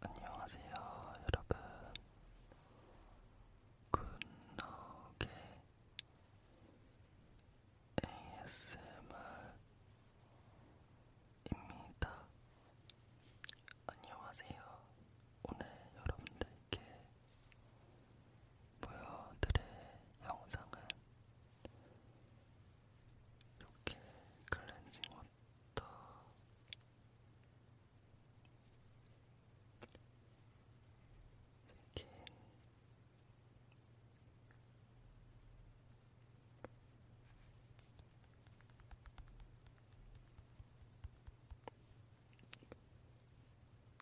안녕하세요, 여러분. 굿노게 ASMR입니다. 안녕하세요. 오늘 여러분들께 보여드릴 영상은 이렇게 클렌징 워터 스킨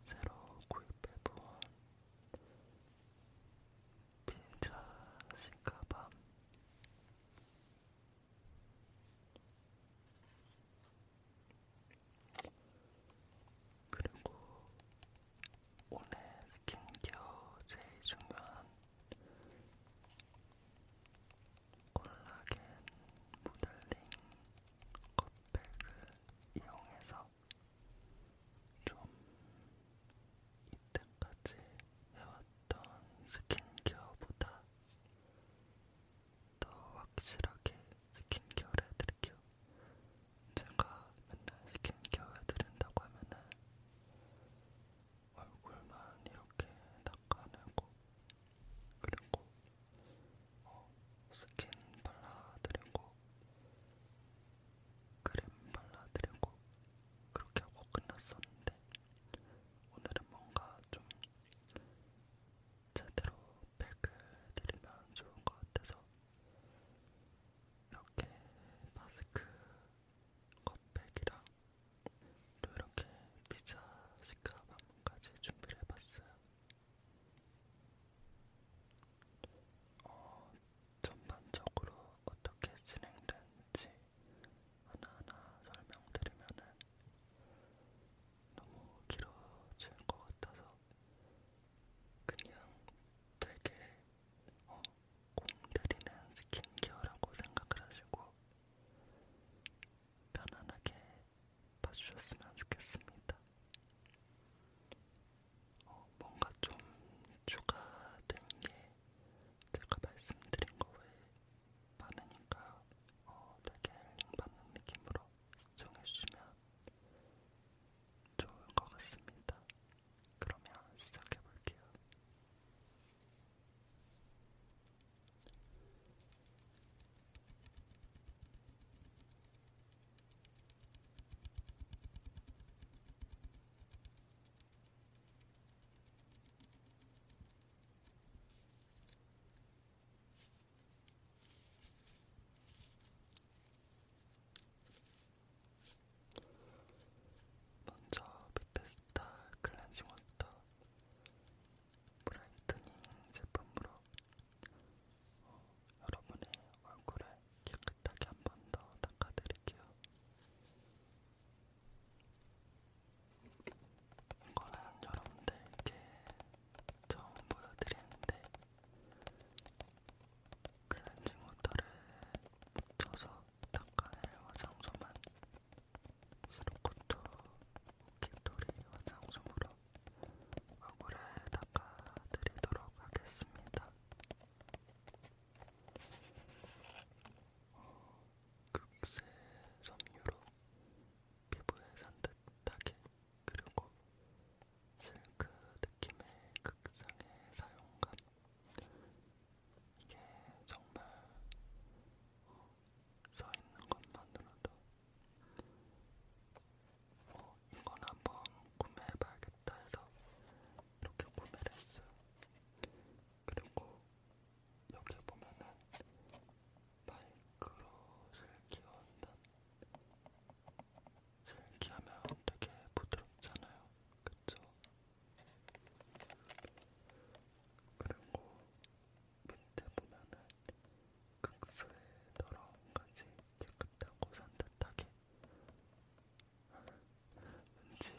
새로 구입해본 빈자 신가밤 그리고 오늘 스킨케어 제일 중요한 콜라겐 모델링 컵백을 이용해서 좀 이때까지 해왔던 스킨케어보다 더 확실하게 스킨케어를 해드릴게요. 제가 맨날 스킨케어 해드린다고 하면은 얼굴만 이렇게 닦아내고 그리고 어, 스킨 발라드리고 크림 발라드리고 그렇게 하고 끝났었는데 오늘은 뭔가 좀 제대로 팩을 드리면 좋은 것 같아서 이렇게 마스크 컵팩이랑 또 이렇게 피자 식감 한번까지 준비를 해봤어요. 어, 전반적으로 어떻게 진행되는지 하나하나 설명드리면은 너무 길어질 것 같아서 그냥 되게 어, 공들이는 스킨케어라고 생각을 하시고 편안하게 봐주셨으면 좋겠습니다. 어, 뭔가 좀 추가된 게 제가 말씀드린 거 외에 많으니까 어, 되게 힐링받는 느낌으로 시청해주시면 좋을 것 같습니다. 그러면 시작해볼게요. 먼저 베테스타 클렌징 워터 브라이트닝 제품으로 어, 여러분의 얼굴을 깨끗이 깨끗하게 한번 더 닦아드릴게요. 이거는 여러분들께 처음 보여드리는데 클렌징 워터를 묻혀서 닦아낼 화장솜은 스로코토 오키토리 화장솜으로 얼굴을 닦아드리도록 하겠습니다. 극세 섬유로 피부에 산뜻하게 그리고 실크 느낌의 극상의 사용감 이게 정말 써있는 것만으로도 어, 이건 한번 구매해봐야겠다 좋겠다 해서 이렇게 구매를 했어요. 그리고 여기 보면은 마이크로를 끼얹는 실기하면 되게 부드럽잖아요. 그쵸? 그리고 밑에 보면은 극소의 더러움까지 깨끗하고 산뜻하게 왠지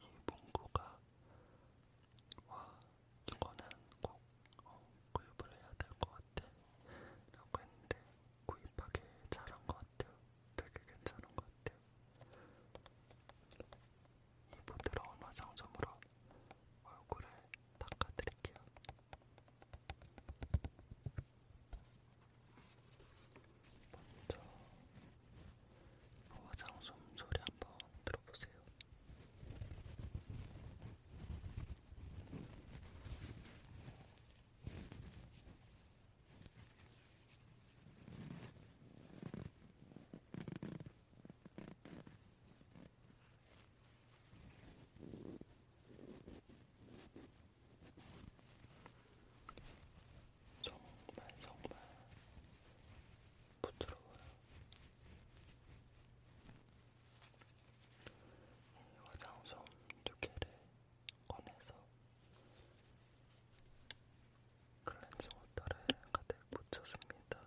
이 문구가 와 이거는 꼭 어, 구입을 해야 될 것 같아 라고 했는데 구입하기 잘한 것 같아요 되게 괜찮은 것 같아요 이 부드러운 화장솜으로 얼굴을 닦아드릴게요 먼저 화장솜 소리 한번 들어보세요. 정말 정말 부드러워요. 이 화장솜 두 개를 꺼내서 클렌징 워터를 가득 묻혀줍니다.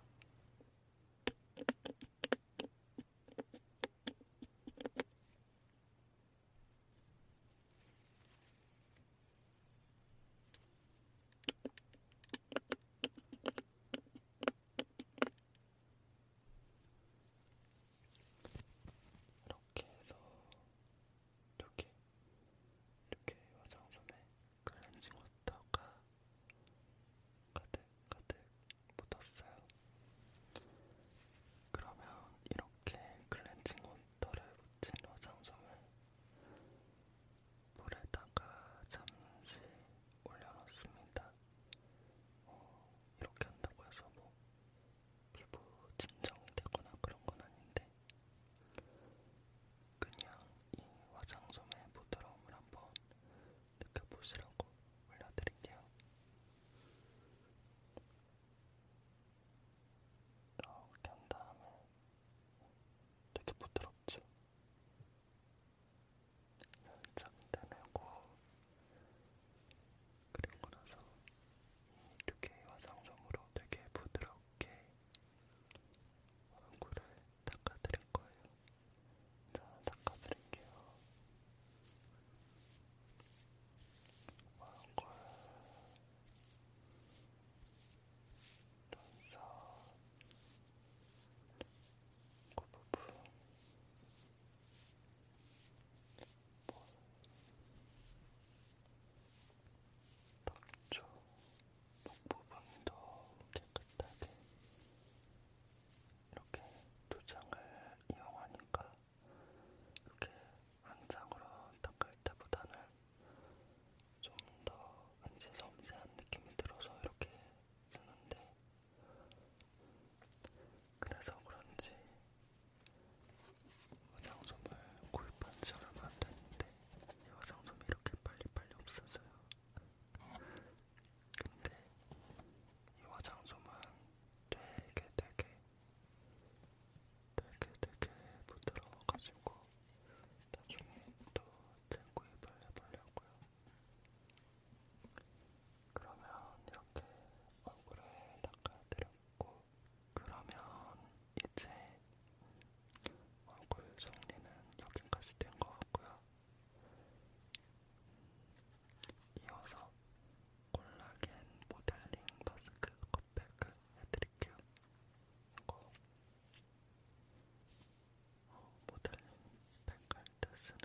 이렇게 해서 이렇게 이렇게 화장솜에 클렌징 워터가 가득 가득 묻었어요. 그러면 이렇게 클렌징 워터를 묻힌 화장솜을 물에다가 잠시 올려놓습니다. 어, 이렇게 한다고 해서 뭐 피부 진정이 되거나 그런 건 아닌데 그냥 이 화장솜의 부드러움을 한번 느껴보시라고 올려드릴게요. 이렇게 한 다음에 되게 부드럽죠? 살짝 떼내고 그리고 나서 이렇게 화장솜으로 되게 부드럽게 얼굴을 닦아드릴 거예요. 자, 닦아드릴게요. 얼굴 눈썹 그 부분 볼 턱조 목 부분도 깨끗하게 이렇게 두 장을 이용하니까 이렇게 한장으로 닦을 때보다는 좀더 왠지 섬세한 느낌이 들어서 이렇게 쓰는데 그래서 그런지 화장솜을 구입한 지 얼마 안 됐는데 이 화장솜이 이렇게 빨리빨리 없어져요. 근데 이 화장솜은 되게 되게 되게 되게 부드러워가지고 나중에 또 쟁구입을 해보려고요. 그러면 이렇게 얼굴을 닦아드렸고, 그러면 이제 얼굴 정리는 여기까지 된 것 같고요. 이어서 콜라겐 모델링 마스크 컵백을 해드릴게요. 이거 모델링 펜갈 때 쓰는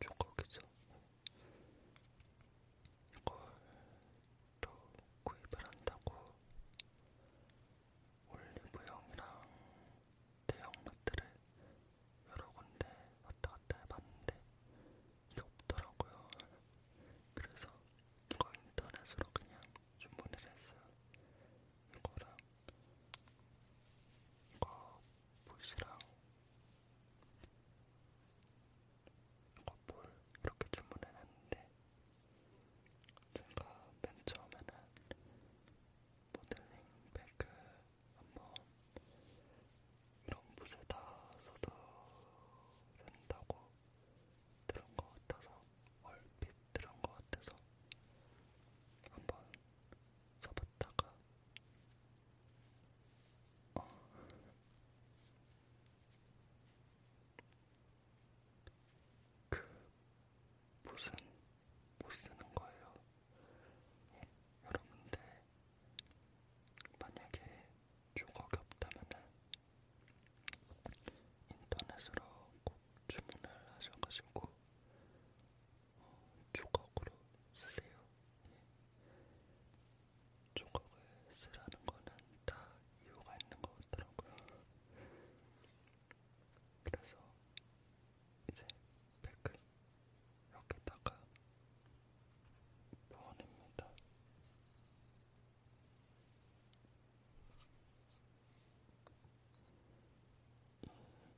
조각이죠. 이걸 또 구입을 한다고 올리브영이랑 대형마트를 여러 군데 왔다 갔다 해봤는데 이게 없더라고요. 그래서 이거 인터넷으로 그냥 주문을 했어요. 이거랑 이거 붓이랑 이거 볼 이렇게 주문을 했는데 제가 맨 처음에는 모델링 백을 한번 이런 붓에다 써도 된다고 들은 것 같아서 얼핏 들은 것 같아서 한번 써봤다가 어. 그 무슨 못 쓰는 거예요. 예, 여러분들 만약에 조각이 없다면은 인터넷으로 꼭 주문을 하셔가지고 어, 조각으로 쓰세요. 예. 조각을 쓰라는 거는 다 이유가 있는 것 같더라고요. 그래서 이제 백을 여기다가 넣어냅니다.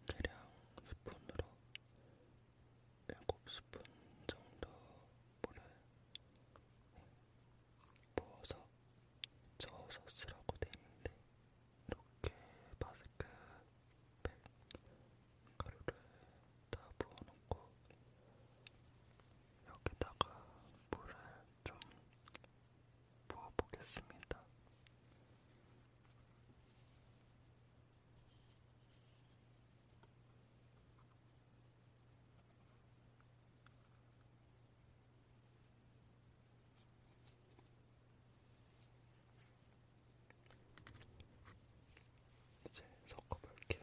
대량 스푼으로 7스푼 정도 물을 부어서 저소스라고 되어있는데 이렇게 바스크 팩 가루를 다 부어놓고 여기다가 물을 좀 부어보겠습니다. 이제 섞어볼게요.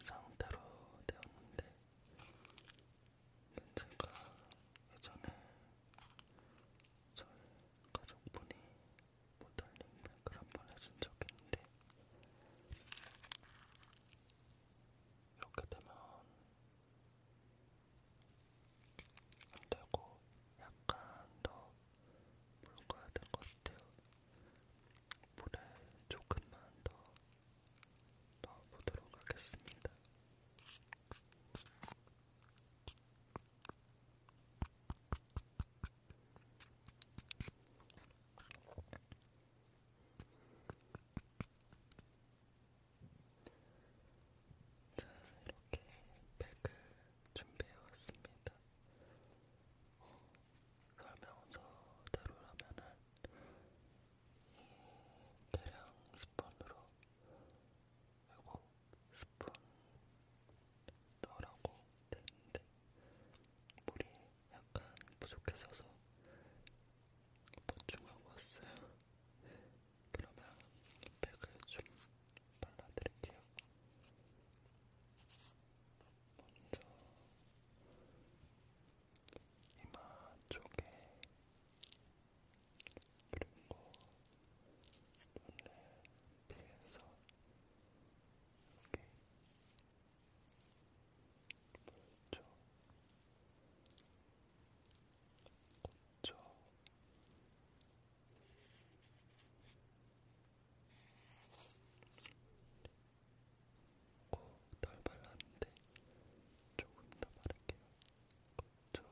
이 상태로 되었는데 문제가 예전에 저희 가족분이 모델링 뱅크를 한번 해준 적이 있는데 이렇게 되면 안되고 약간 더 묽어야 될것 같아요 물에 조금만 더 넣어보도록 하겠습니다 자, 이렇게 팩을 준비해 왔습니다. 어, 설명서대로라면은 이 대량 스펀으로 하고 스푼 넣으라고 되는데 물이 약간 부족해서서 보충하고 왔어요. 그러면 백을 좀 발라드릴게요. 먼저 이마 쪽에 그리고 눈을 피해서 이렇게 보였죠. 고쳐 덜 발랐는데 조금 더 바를게요. 더 가르쳐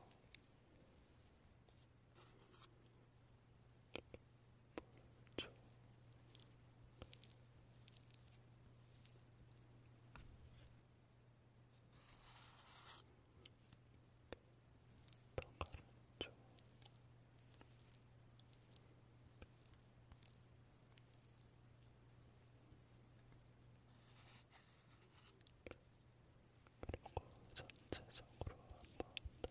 그리고 전체적으로 한번 더.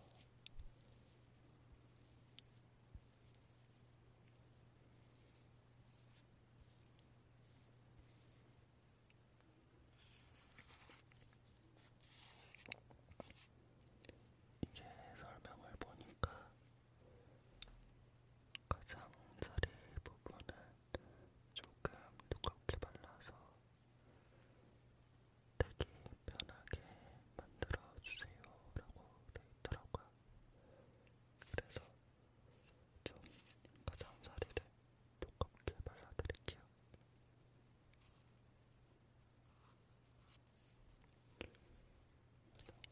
이게 설명을 보니까 가장자리 부분은 조금 두껍게 발라서 되게 편하게 만들어주세요 라고 되어있더라고요 그래서 좀 가장자리를 두껍게 발라드릴게요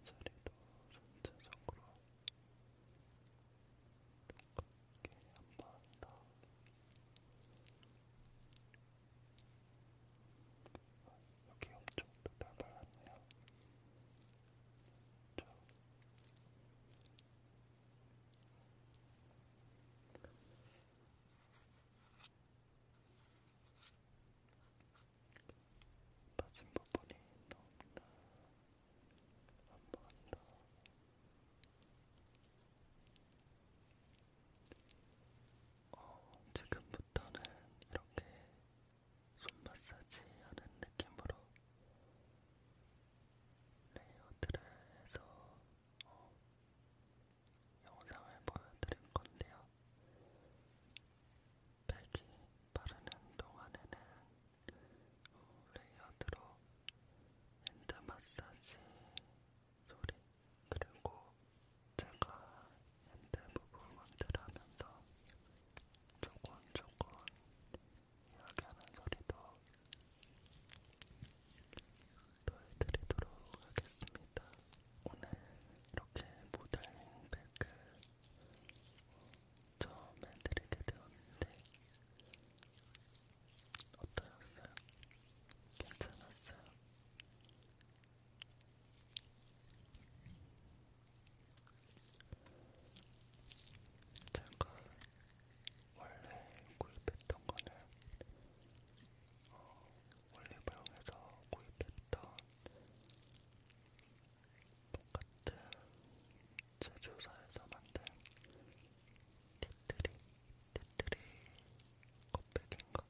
가장자리도 전체적으로 가볍게 한번 더. 여기 엄청도 달달하네요. 저. 빠진 부분이 너무나 한번더 어, 지금부터는 이렇게 손 마사지 하는 느낌으로 레이어드를 해서 어, 영상을 보여드릴 건데요. 백이 바르는 동안에는 어, 레이어드로 핸드 마사지 소리 그리고 제가 핸드 무브먼트를 하면서 조곤조곤 이야기하는 소리도 더해드리도록 하겠습니다. 오늘 이렇게 모델링 백을 처음 해드리게 되었는데 어떠셨어요? 괜찮았어요? 제가 원래 구입했던 거는 어, 올리브영에서 구입했던 똑같은 제조사에서 만든 테트리, 테트리 컵백인가?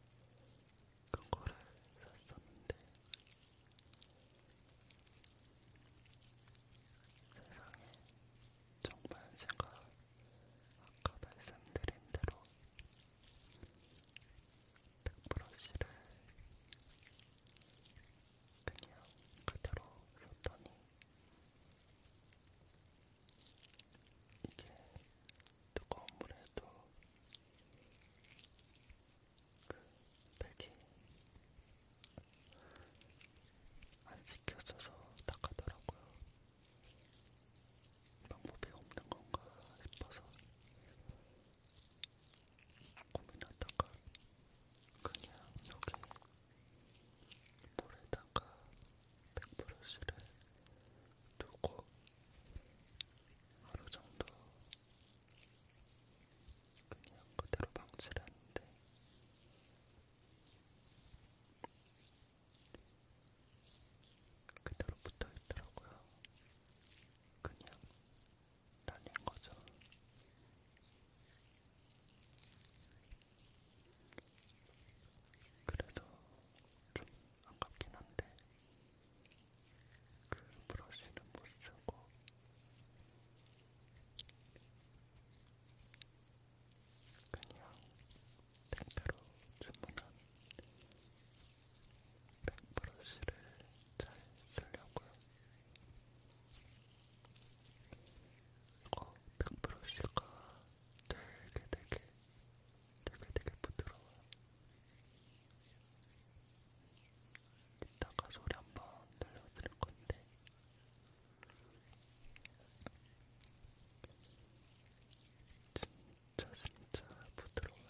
그거를 샀었는데 세상에 정말 제가 아까 말씀드린 대로 백브러쉬를 그냥 그대로 썼더니 이게 뜨거운 물에도 그 팩이 안 씻겨져서 닦아더라고요. 방법이 없는 건가 싶어서 고민하다가 그냥 여기 물에다가 백브러시를 두고 하루 정도 그냥 그대로 방치를 했는데 그대로 붙어 있더라고요. 그냥 날린 거죠. 그래서 좀 아깝긴 한데 그 브러쉬는 못 쓰고 그냥 택배로 주문한 백브러쉬를 잘 쓰려고요. 이거 어, 백브러쉬가 되게 되게 되게 되게 부드러워. 이따가 소리 한번 들려드릴 건데. 진짜 진짜 부드러워.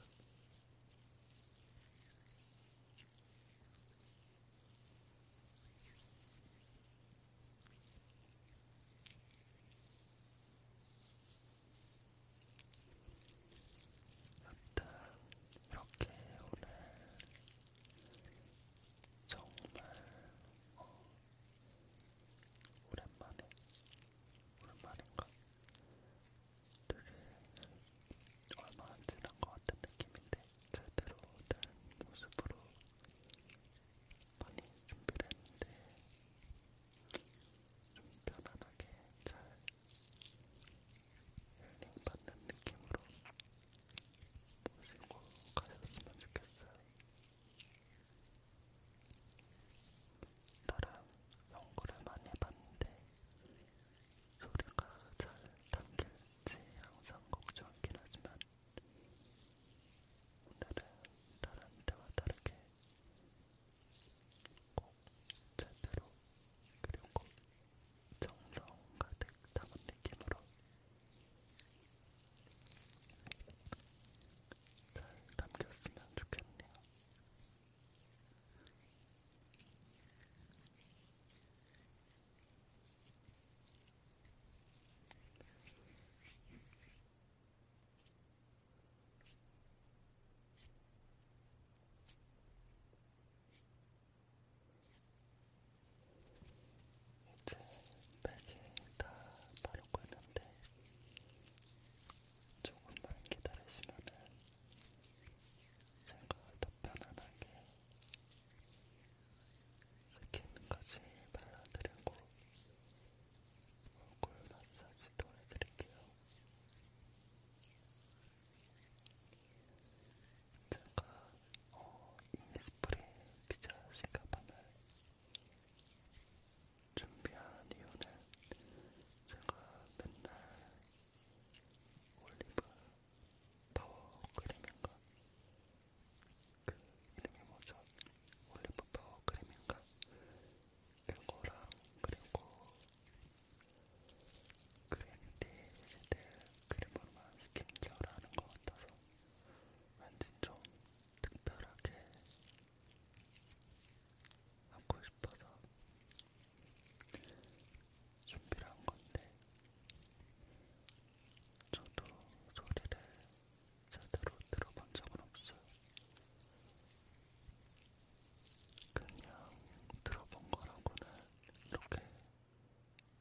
일단 이렇게 오늘 정말 어, 오랜만에 오랜만인가? 되게 얼마 안 지난 것 같은 느낌인데 제대로 된 모습으로 많이 준비를 했는데 좀 편안하게 잘 힐링 받는 느낌으로 보시고 가셨으면 좋겠어요. 나름 연구를 많이 해봤는데 소리가 잘 담길지 항상 걱정이긴 하지만 오늘은 다른 때와 다르게 꼭 제대로 그리고 정성 가득 담은 느낌으로 잘 담겼으면 좋겠네요. 이제 백이 다 바르고 있는데 조금만 기다리시면은 제가 더 편안하게 스킨까지 발라드리고 얼굴 마사지도 해드릴게요. 제가 어, 이니스프리 피자 시가방을 준비한 이유는 제가 맨날 올리브 파워 크림인가 그 이름이 뭐죠? 올리브 파워 크림인가? 그거랑 그리고 그린티 시드 크림으로만 스킨 케어를 하는 것 같아서 왠지 좀 특별하게 하고 싶어서 준비를 한 건데 저도 소리를 제대로 들어본 적은 없어요. 그냥 들어본 거라고는 이렇게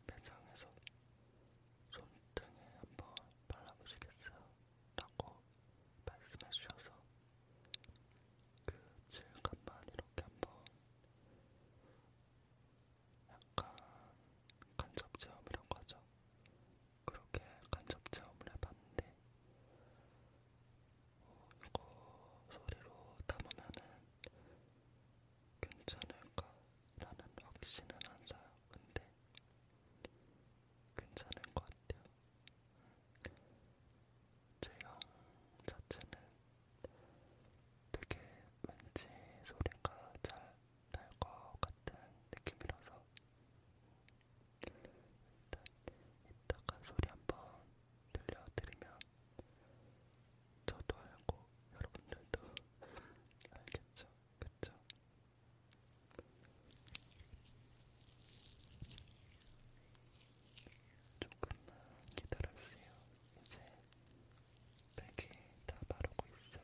매장에서 손등에 한번 발라보시겠어요? 라고 말씀해 주셔서 그 질감만 이렇게 한번 약간 간접 체험 이런 거죠. 그렇게 간접 체험을 해봤는데 어, 이거 소리로 담으면은 괜찮을까라는 확신은 안 사요. 근데 괜찮을 것 같아요. 제형 자체는 되게 왠지 소리가 잘 날것 같은 느낌이라서 일단 이따가 소리 한번 들려드리면 저도 알고 여러분들도 알겠죠? 그쵸? 조금만 기다려주세요. 이제 백이 다 바르고 있어요.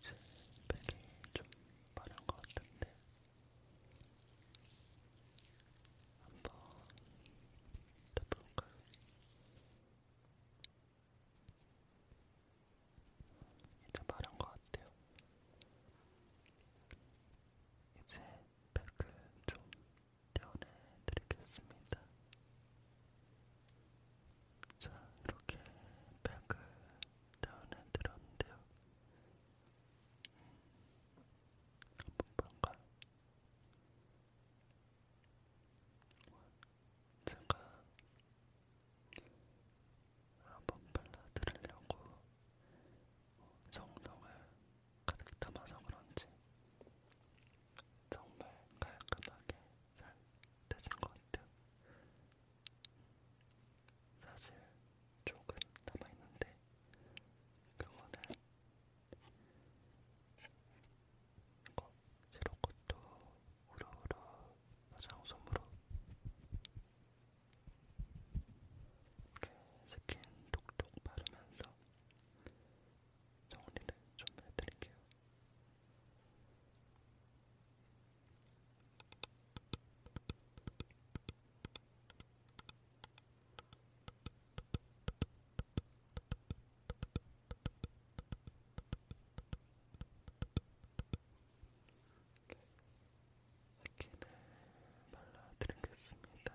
이제 백이 좀 마른 것 같은데 한번 덮어볼까요? 이제 마른 것 같아요. 이제 백은 좀 떼어내드리겠습니다. 자, 이렇게 백을 떼어내드렸는데요. 한번 볼까요? 제가 한번 발라드리려고 정성을 가득 담아서 그런지 정말 깔끔하게 잘 떼진 것 같아요. 사실 조금 남아있는데 그거는 이거 시로코토 우러우러 화장솜으로 이렇게 스킨 톡톡 바르면서 정리를 좀 해드릴게요. 스킨을 발라드리겠습니다.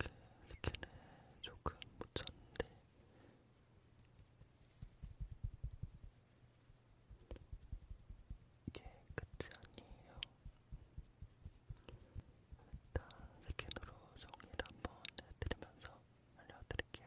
이렇게 스킨을 조금 못 찾는데 이게 끝이 아니에요. 일단 스킨으로 정리를 한번 해드리면서 알려드릴게요.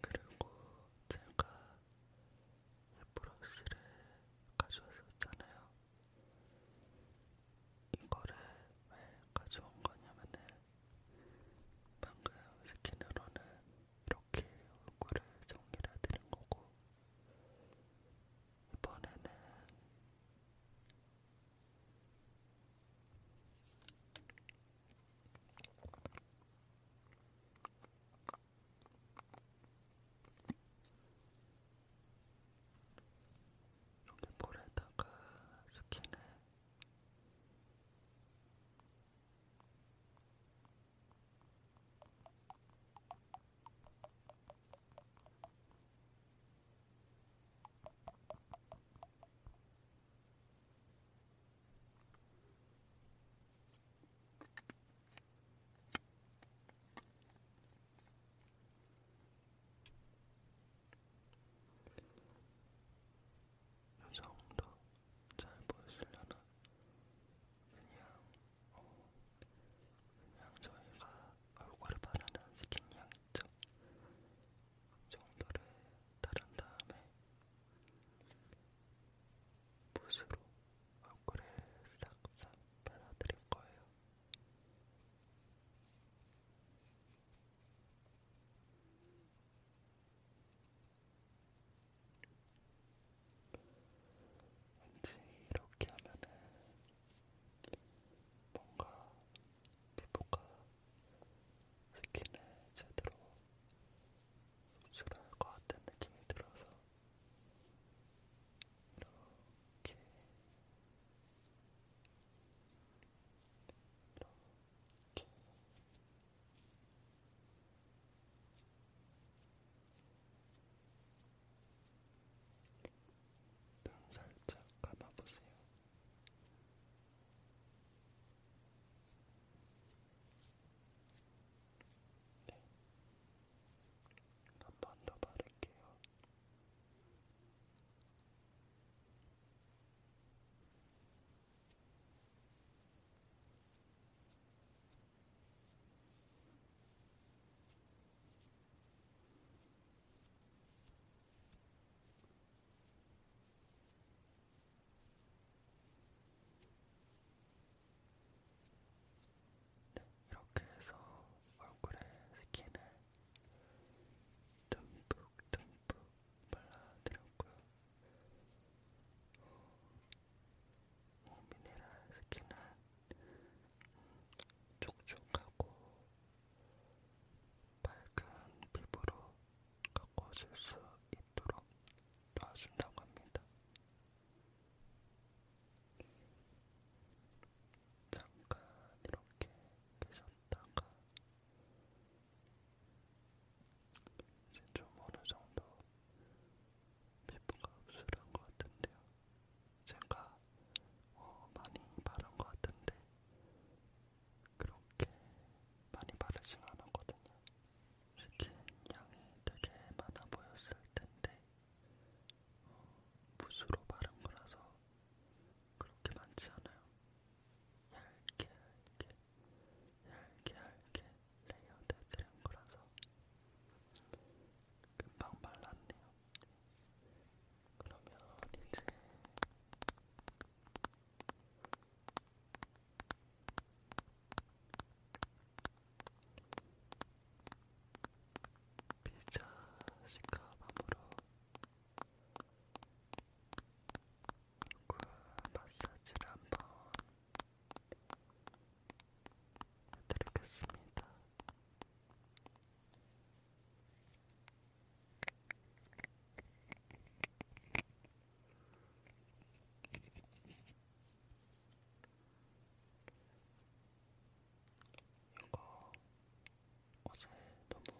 그리고 제가 이 브러쉬를 가져왔었잖아요. 이거를 왜 가져온 거냐면은 방금 스킨으로는 이렇게 얼굴을 정리를 해드린 거고 이번에는 여기 볼에다가 스킨을 여성도 잘 보이시려나? 그냥, 어, 그냥 저희가 얼굴에 바르는 스킨 향 있죠? 정도를 따른 다음에 붓으로 얼굴에 싹싹 발라드릴 거예요. 왠지 이렇게 하면은 뭔가 피부가 스킨을 제대로 흡수를 할것 같은 느낌이 들어서 이렇게 이렇게 눈 살짝 감아보세요. 네. 한번더 바를게요. 네, 이렇게 해서 얼굴에 스킨을 듬뿍듬뿍 발라드렸고요. 어, 미네랄 스킨은 촉촉하고 밝은 피부로 가꿔질 수 있도록 도와준다고 합니다. 잠깐 이렇게 계셨다가 이제 좀 어느 정도 피부가 흡수한 것 같은데요. 제가 어, 많이 바른 것 같은데 그렇게 많이 바르진 않았거든요. 스킨 양이 되게 많아 보였을 텐데 어, 붓으로 바른 거라서 그렇게 많지 않아요. 얇게 얇게 얇게 얇게 레이어드해드린 거라서 금방 발랐네요. 그러면 이제 피자 시카밤으로 얼굴 마사지를 한번 해드리겠습니다. 이거 어제 너무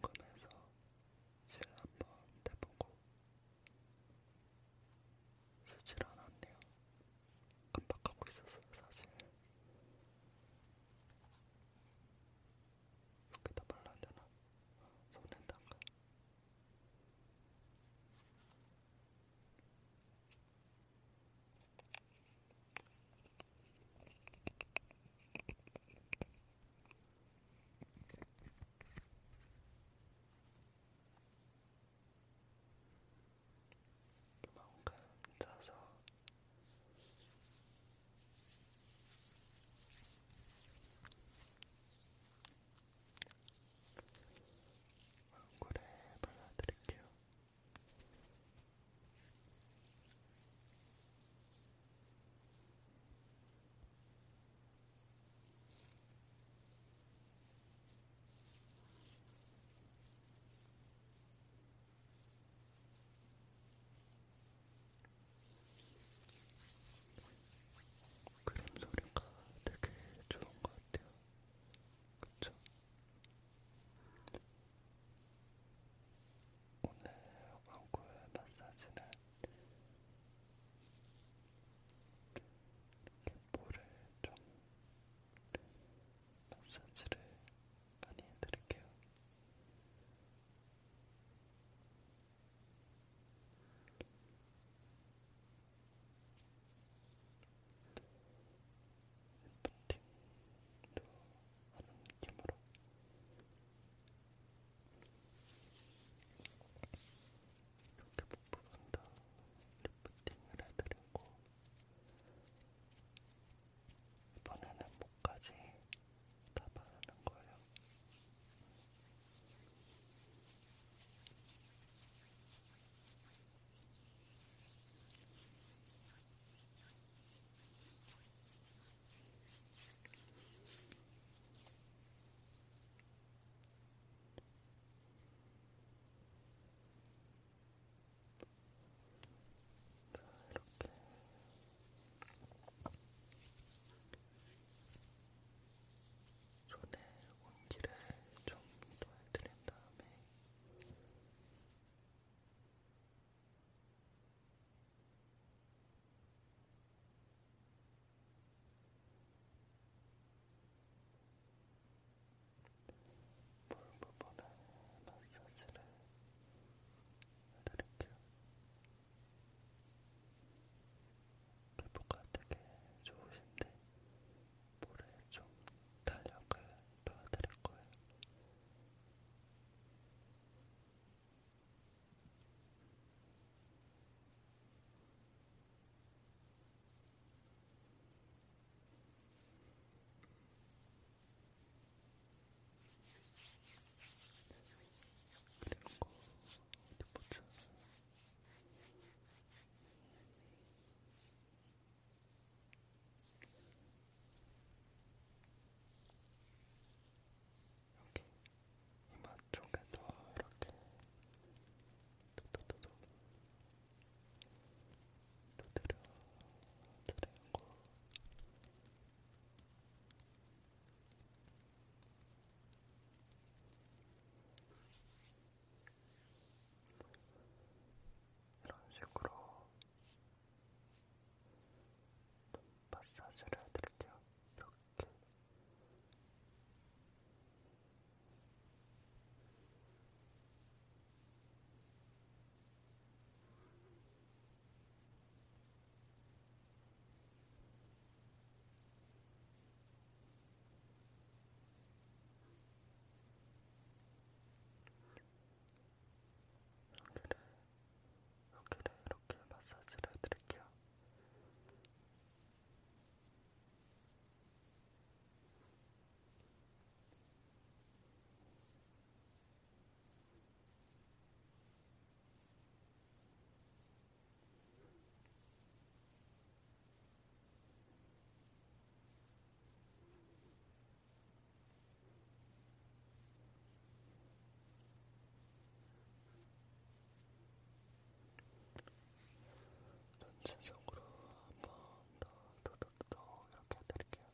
궁금해서 질 한번 대보고 쓰질 않았네요. 깜빡하고 있었어요, 사실. 여기다 발라야 되나? 손엔 담가. 이만큼 짜서 얼굴에 발라드릴게요. 그림 소리가 되게 좋은 것 같아요. 그쵸? 오늘 얼굴 마사지는 이렇게 볼을 좀 마사지를 많이 해드릴게요. 리프팅도 하는 느낌으로 이렇게 부분도 리프팅을 해드리고 이번에는 목까지 다 바르는 거예요. 자, 이렇게 손에 온기를 좀 더 해드린 다음에 볼 부분에 마사지를 해드릴게요. 피부가 되게 좋으신데 볼에 좀 탄력을 도와드릴 거예요. 그리는 거 어디 보자. 여기 이마 쪽에도 이렇게 도도도도 두드려 드리는 거 이런 식으로 좀 마사지를 해드릴게요. 이렇게. 여기를, 여기를 이렇게 마사지를 해드릴게요. 전체적으로 한번더 두둑도 이렇게 해드릴게요.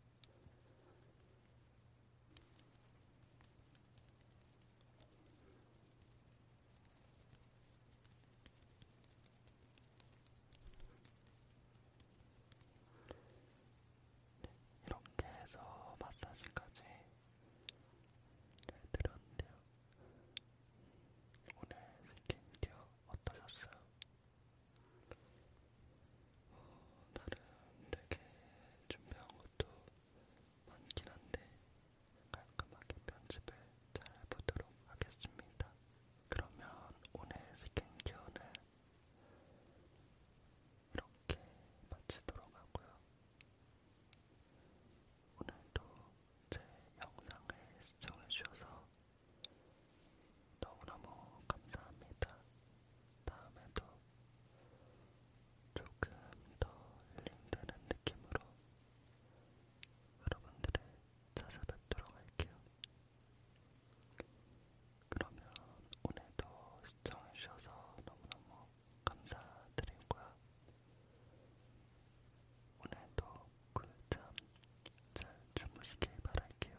이렇게 해서 마사지까지 해드렸는데요. 오늘 스킨케어 어떠셨어요? 어, 나름 되게 준비한 것도 많긴 한데 깔끔하게 편집을 잘 해보도록 하겠습니다. 그러면 오늘 스킨케어는 이렇게 마치도록 하고요. 오늘도 제 영상을 시청해주셔서 너무너무 감사합니다. 다음에도 조금 더 힐링되는 느낌으로 여러분들을 찾아뵙도록 할게요. 그러면 오늘도 시청해주셔서 너무너무 감사드리고요. 오늘도 꿀잠 잘 주무시길 바랄게요.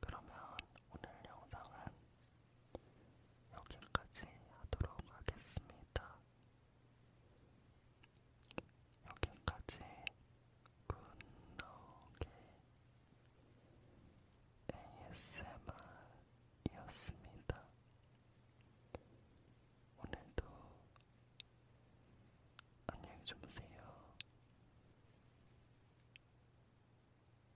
그러면 오늘 영상은 여기까지 하도록 하겠습니다. 여기까지 굿노게 ASMR이었습니다. 오늘도 안녕히 주무세요.